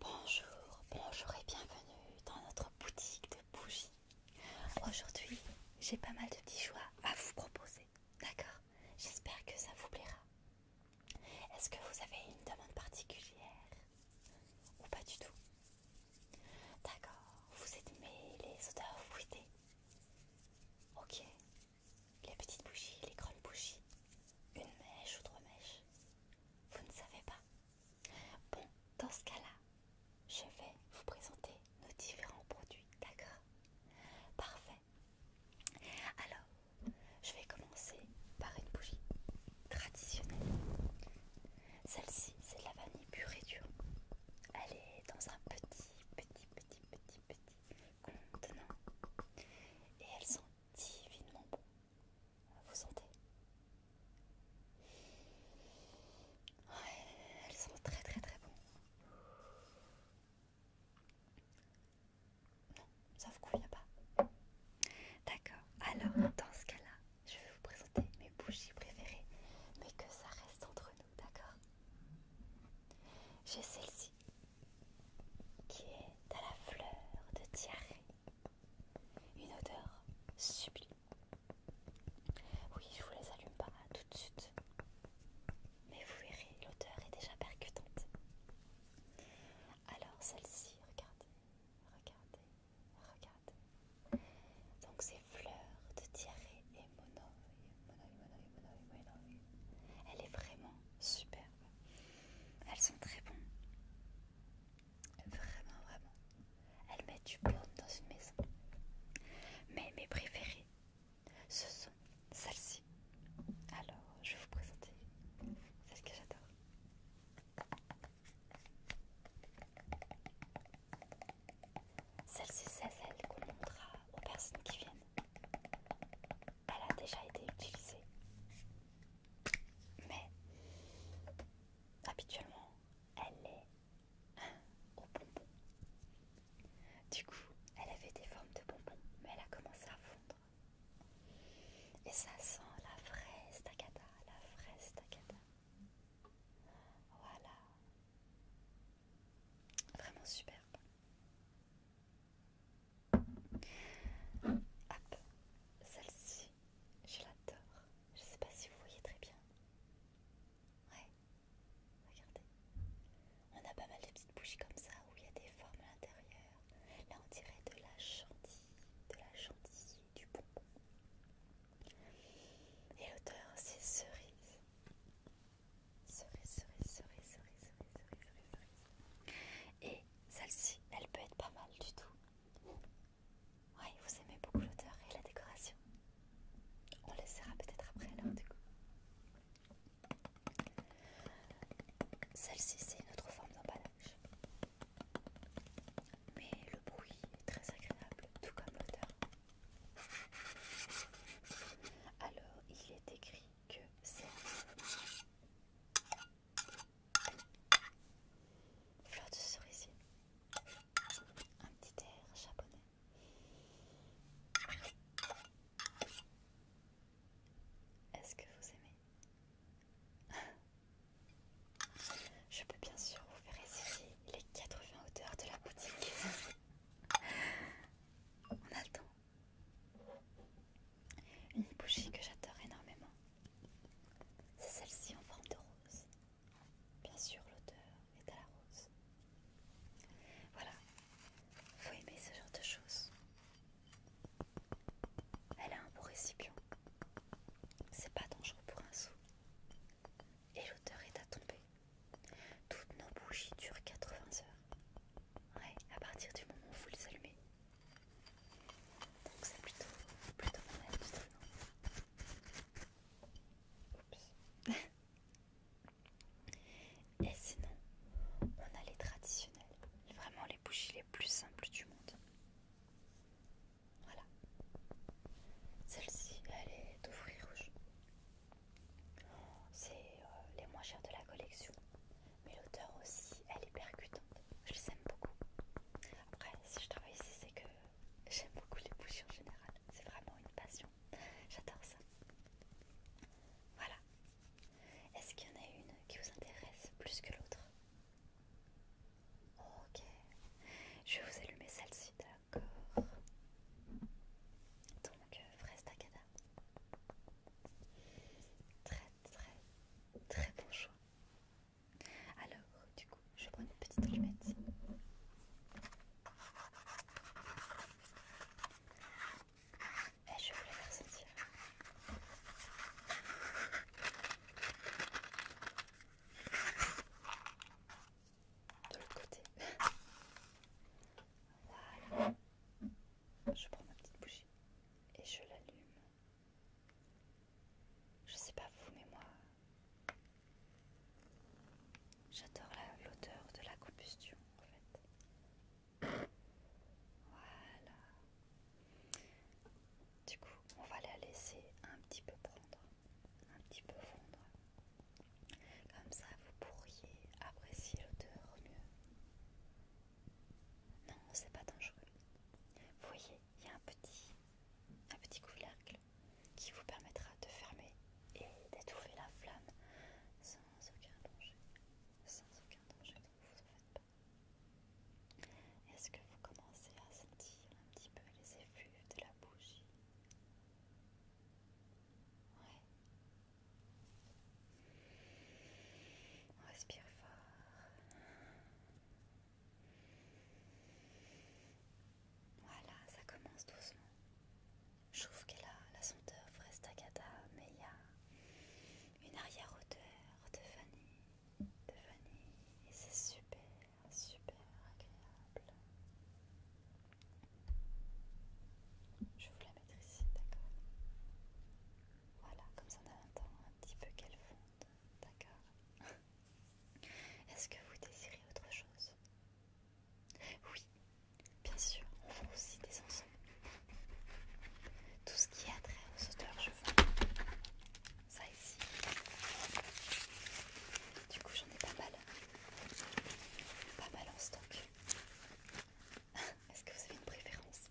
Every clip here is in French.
Bonjour, bonjour et bienvenue dans notre boutique de bougies. Aujourd'hui, j'ai pas mal de petits choix à vous proposer. D'accord J'espère que ça vous plaira. Est-ce que vous avez une demande particulière Ou pas du tout D'accord, vous aimez les odeurs fruitées Ok. Les petites bougies, les grandes bougies, une mèche ou trois mèches, vous ne savez pas Bon, dans ce cas-là, je vais vous présenter nos différents produits, d'accord Parfait. Alors, je vais commencer par une bougie traditionnelle. Celle-ci, c'est la vanille purée et dure. Elle est dans un petit, petit, petit, petit, petit contenant. Et elles sont divinement bon. Vous sentez Ouais, elles sont très très très bonnes. Non, ça vous convient pas. D'accord, alors dans ce cas-là, je vais vous présenter mes bougies préférées, mais que ça reste entre nous, d'accord J'ai celle-ci qui est à la fleur de diarrhée. Une odeur sublime. Oui, je vous les allume pas hein, tout de suite. Mais vous verrez, l'odeur est déjà percutante. Alors celle-ci, regardez, regardez, regardez. Donc c'est fleurs de diarrhée et monoïe, monoïe, monoïe. Elle est vraiment superbe. Elles sont très bonnes. Vraiment, vraiment. Elles mettent du bon dans une maison. Mais mes préférées, ce sont celles-ci. Alors, je vais vous présenter celles que j'adore. celles ci c'est celle qu'on montrera aux personnes qui viennent elle a déjà été utilisée. Mais habituellement, elle est au bonbon. Du coup, elle avait des formes de bonbons, mais elle a commencé à fondre. Et ça sent la vraie staccata, la vraie staccata. Voilà. Vraiment superbe. Hop, celle-ci, je l'adore. Je sais pas si vous voyez très bien. Ouais, regardez. On a pas mal de petites bougies comme ça où il y a des formes à l'intérieur. Là, on dirait de la chantilly, de la chantilly, du bonbon. Et l'odeur, c'est cerise. Cerise, Et celle-ci, elle peut être pas mal du tout. Ouais, vous aimez beaucoup l'odeur et la décoration. On laissera peut-être après alors du coup. Celle-ci, c'est une autre forme d'emballage. Mais le bruit est très agréable, tout comme l'odeur. Alors, il est écrit que c'est flotte de cerisier, un petit air japonais. Est-ce que vous aimez Je peux bien sûr vous faire essayer les 80 odeurs de la boutique. On attend Une bougie que j'adore énormément. C'est celle-ci en forme de rose. Bien sûr, l'odeur est à la rose. Voilà. Faut aimer ce genre de choses. Elle a un beau récipient. C'est pas dangereux pour un sou. Et l'odeur est à tomber. Toutes nos bougies durent 80 heures. Ouais, à partir du moment où vous les allumez. Donc c'est plutôt, plutôt mon non Oups. Et sinon, on a les traditionnels, vraiment les bougies les plus simples du monde. Voilà. Celle-ci, elle est de fruits C'est euh, les moins chères de la collection. Mais l'odeur aussi, elle est percutante. Je les aime beaucoup. Après, si je travaille ici, c'est que j'aime beaucoup les bouches en général. C'est vraiment une passion. J'adore ça. Voilà. Est-ce qu'il y en a une qui vous intéresse plus que l'autre Ok. Je vais vous allumer celle-ci d'accord. Donc, euh, fraise Très, très, très bon choix. Alors, du coup, je prends une petite allumette. Et je vais vous la faire sentir de l'autre côté. Voilà. Je prends ma petite bougie et je l'allume. Je sais pas vous, mais moi, j'adore l'odeur de la combustion en fait. Voilà. Du coup, on va la laisser un petit peu prendre, un petit peu fondre. Comme ça, vous pourriez apprécier l'odeur mieux. Non, c'est pas dangereux. Vous voyez, il y a un petit, couvercle qui vous permettra de fermer et d'étouffer la flamme sans aucun danger. Sans aucun danger, ne vous en faites est-ce que vous commencez à sentir un petit peu les effluves de la bougie Ouais. On respire fort. Voilà, ça commence doucement. Je trouve qu'elle a la senteur frestagata, mais il y a une arrière-odeur de vanille de c'est super, super agréable. Je vous la mettre ici, d'accord Voilà, comme ça on attend un petit peu qu'elle fonde, d'accord Est-ce que vous désirez autre chose Oui, bien sûr, on vend aussi des ensembles tout ce qui a trait aux hauteurs, je ça ici. Du coup, j'en ai pas mal, pas mal en stock. Est-ce que vous avez une préférence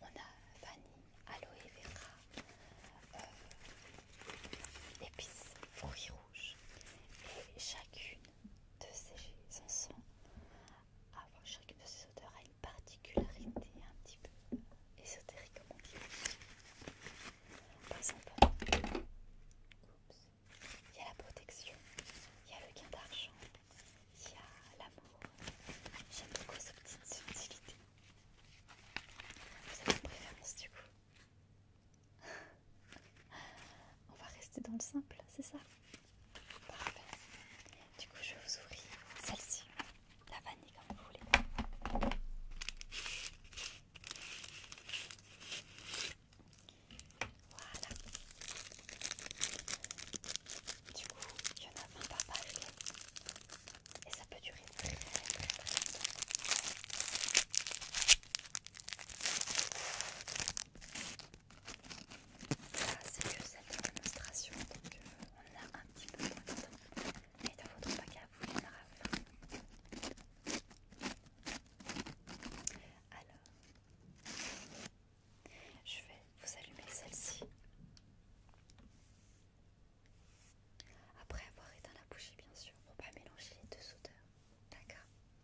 On a vanille, aloe vera, euh, épices, fruits rouges, et chacune de ces sont ah bon, chaque de ces auteurs a une particularité un petit peu ésotérique, au on Par exemple, il y a la protection, il y a le gain d'argent, il y a l'amour. J'aime beaucoup cette petite subtilité. C'est avez préférence du coup On va rester dans le simple, c'est ça Parfait. Du coup, je vous ouvre celle-ci, la vanille comme vous voulez. Voilà. Du coup, il y en a 20 par et ça peut durer très très très longtemps. Ça, ah, c'est que cette démonstration, donc on a un petit peu moins de temps. Mais dans votre bac vous, il y Alors, je vais vous allumer celle-ci. Après avoir éteint la bougie, bien sûr, pour pas mélanger les deux odeurs. D'accord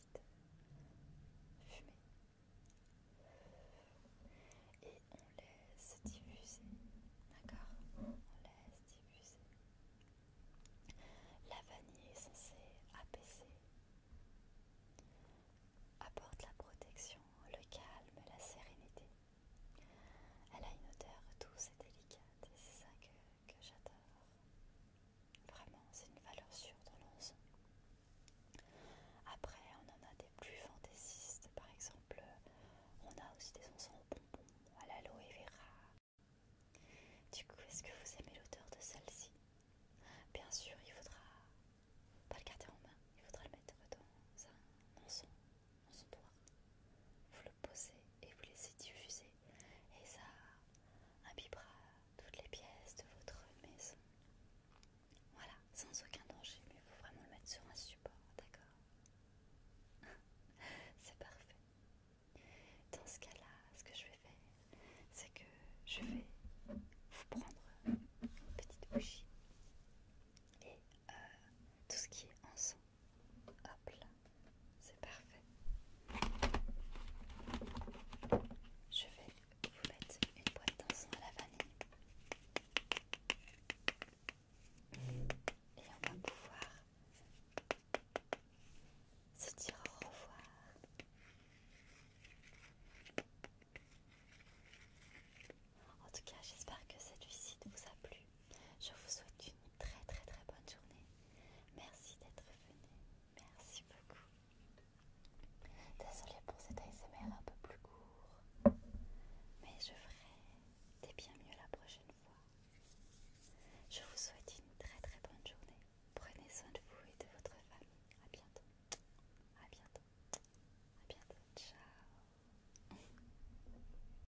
Fumer Et on laisse diffuser, d'accord On laisse diffuser. La vanille est censée apaiser, apporte la protection, le calme, la sérénité. Elle a une odeur douce et délicate c'est ça que j'adore. Vraiment, c'est une valeur sûre dans l'encens Après, on en a des plus fantaisistes. Par exemple, on a aussi des encens au bonbon à l'aloe vera. Du coup, est-ce que vous aimez l'odeur de celle-ci Bien sûr, il faudra pas le garder en main. Il faudra le mettre dans un encens, dans son Vous le posez et vous laissez diffuser et ça imbibera toutes les pièces de votre maison. Voilà, sans aucun danger, mais il faut vraiment le mettre sur un support, d'accord C'est parfait. Dans ce cas-là, ce que je vais faire, c'est que je vais vous prendre une petite bougie et euh, tout ce qui est ensemble Hop là, c'est parfait. Je vais vous mettre une boîte d'encens à la vanille. Et on va pouvoir se dire au revoir. En tout cas, j'espère que cette visite vous a plu. Je vous souhaite une très très très bonne journée. Merci d'être venu. Merci beaucoup. Désolée pour cet ASMR un peu plus court. Mais je ferai des bien mieux la prochaine fois. Je vous souhaite une très très bonne journée. Prenez soin de vous et de votre famille. A bientôt. A bientôt. A bientôt. Ciao.